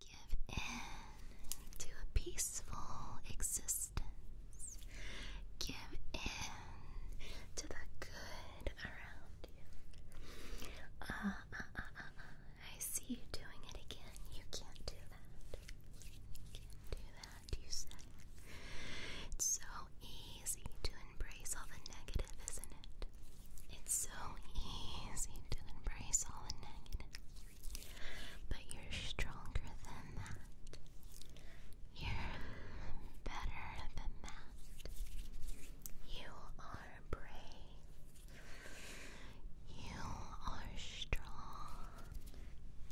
Give in to a peaceful existence. Give in to the good around you. Uh, uh, uh, I see you doing it again. You can't do that. You can't do that, you say. It's so easy to embrace all the negative, isn't it? It's so easy to embrace all the negative. But you're stronger than that. You're better than that. You are brave. You are strong.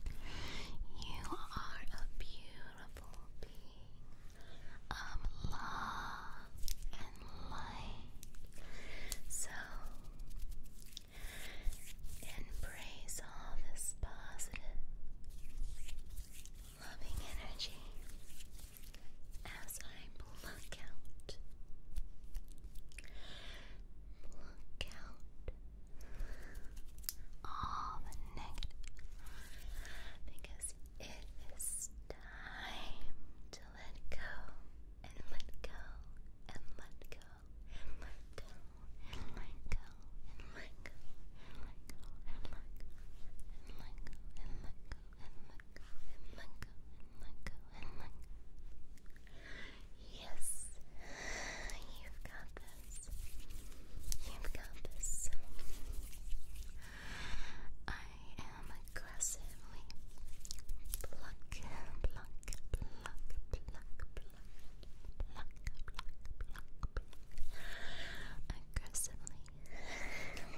You are a beautiful being of love and light. So Embrace all this positive, loving energy as I pluck out, pluck out all the negative, because it is time to let go and let go and let go and let go, and let go, and let go, and let go, and let go, and let go, and let go, and let go, and let go, and let go, Yes, you've got this. You've got this. I am aggressively pluck, pluck, pluck, pluck, pluck, pluck, pluck, pluck, pluck. Aggressively. pluck, pluck,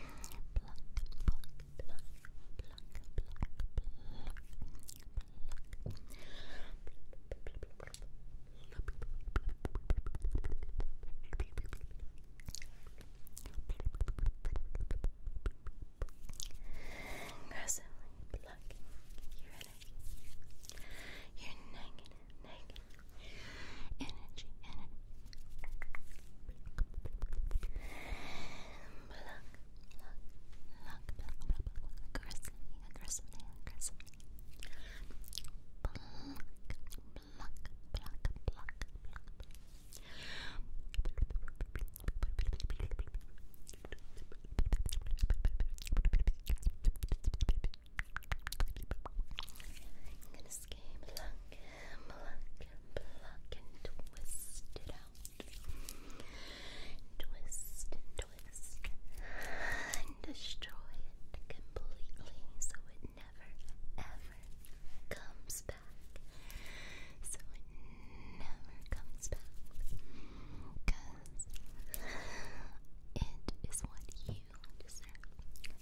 pluck, pluck, pluck, pluck, pluck. Aggressively plucking your energy. Your negative, negative energy, energy. Block, block, block, block, block, block, aggressively, aggressively, aggressively. Block, block, I'm gonna skate, pluck, pluck, pluck, and twist it out. Twist twist and destroy it completely so it never ever comes back never comes back. Cause it is what you deserve.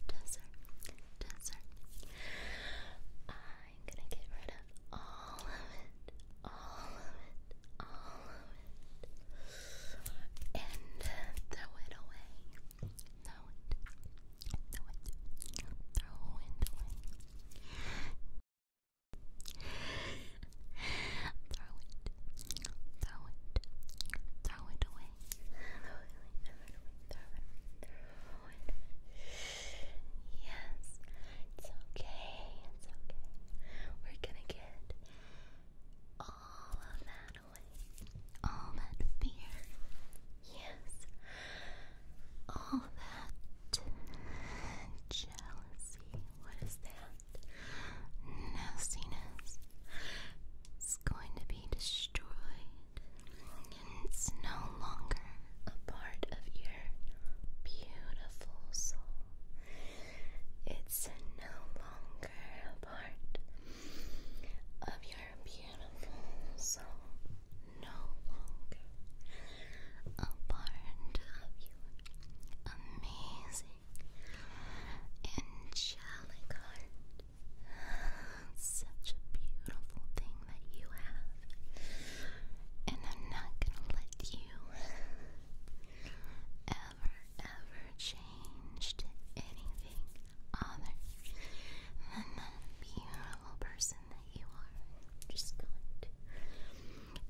Deserve. Deserve. I'm gonna get rid of all of it. All of it. All of it. And throw it away. Throw it. Throw it. Throw it away throw it, throw it, throw it away, throw it away, throw it away, throw it away, Yes, it's okay, it's okay. We're gonna get all of that away, all that fear. Yes, all that jealousy, what is that? Nastiness is going to be destroyed. It's no longer a part of your beautiful soul. It's no longer a part of your beautiful soul no longer a part of your amazing, angelic heart. Such a beautiful thing that you have, and I'm not gonna let you ever, ever change anything other than that beautiful adorable person that you are, just going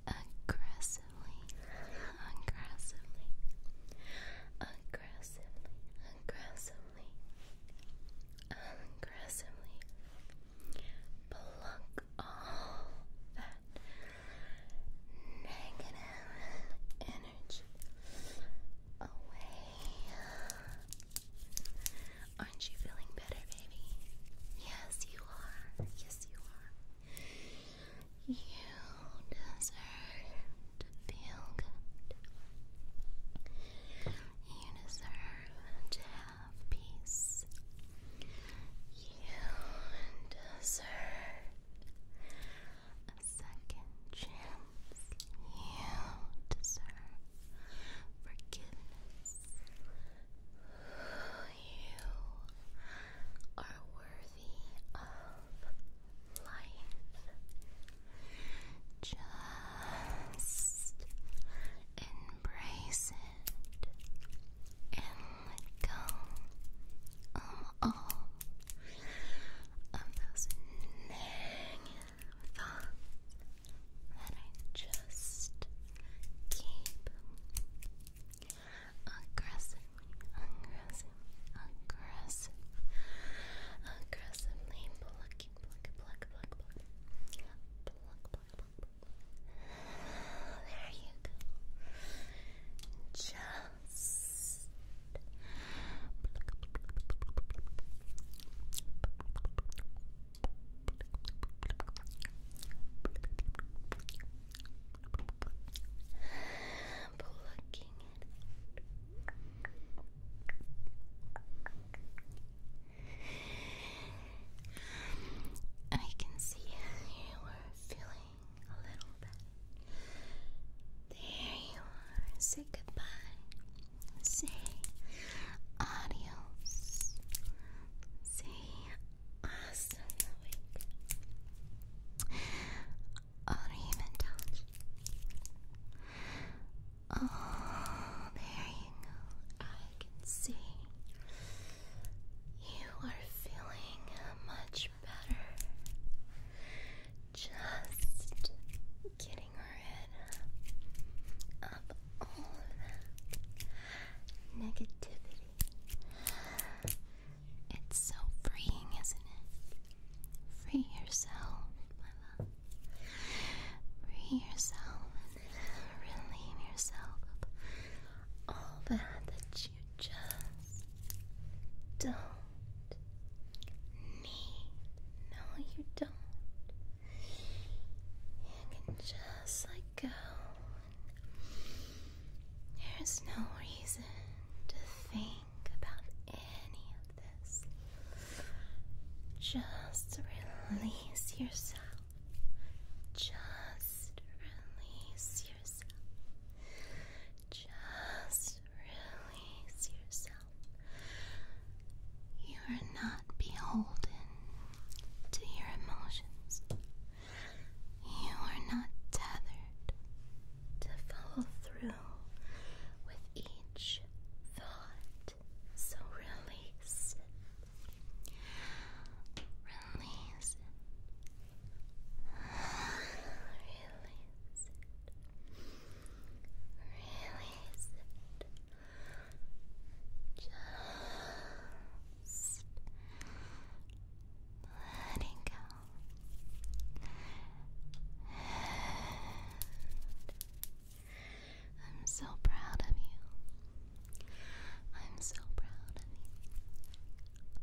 aggressively, aggressively, aggressively, aggressively, aggressively pluck all that negative energy away. Aren't you feeling better, baby? Yes, you are. Yes, you are. You deserve to feel good. You deserve to have peace. You deserve a second chance. You deserve forgiveness. You are worthy of life. Just embrace it and let go of um, all of those negative thoughts that I just keep aggressively, aggressive, aggressive, aggressively plucking, pluck, pluck, pluck, pluck, pluck, pluck, pluck, There you go. Just Plucking I can see you were feeling a little bad. There you are. Say goodbye say adios. Say awesome week. Or touch. Oh, there you go. I can see you are feeling much better. Just getting her head up all that negativity. It's so freeing, isn't it? Free yourself, my Free yourself and relieve yourself all that that you just don't need. No, you don't. You can just let go. There's no reason to think about any of this. Just release yourself. Just release yourself. Just release yourself. You are not beholden to your emotions. You are not tethered to follow through with each thought. So release Release Release Release Just let go. I'm so proud of you. I'm so proud of you.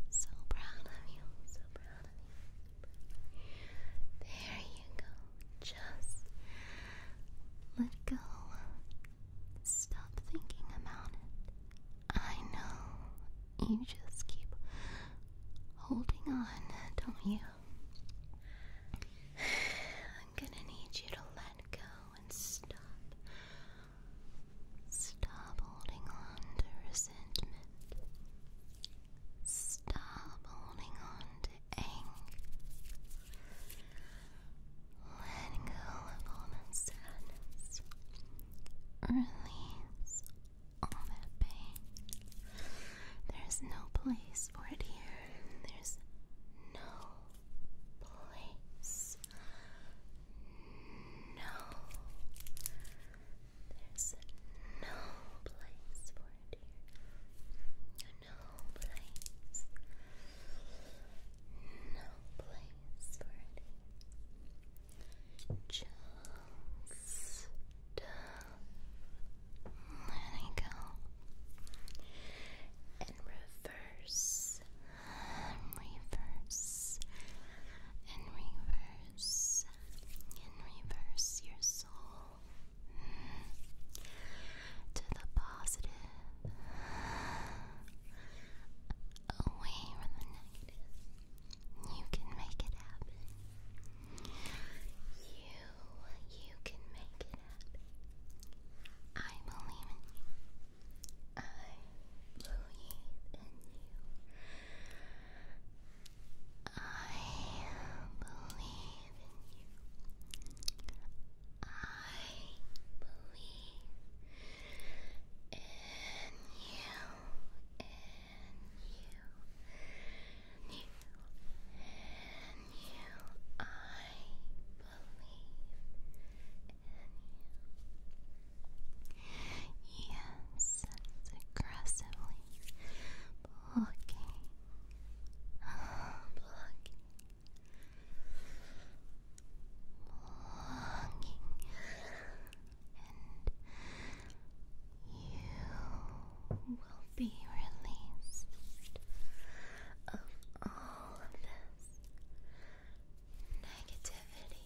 So proud of you. So proud of you. There you go. Just let go. Stop thinking about it. I know. You just keep holding on, don't you? I'm gonna need you to let go and stop. Stop holding on to resentment. Stop holding on to anger. Let go of all that sadness. Release all that pain. There's no place for it here. There's no place. No there's no place for it here. No place. No place for it Just uh, let it go. And reverse, reverse, and reverse, this reverse your soul to the positive, away from the negative. You can make it happen. You, you can make it happen. I believe in you. I believe in you. I believe in you. I believe in you, in you, you, in you. I believe in you. Yes, aggressively blocking, blocking, blocking, and you will be released of all this negativity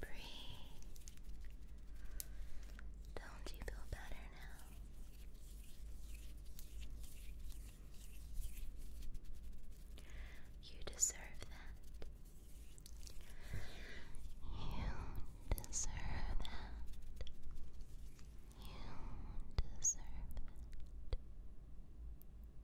breathe. Don't you feel better now? You deserve that. You deserve that. You deserve it.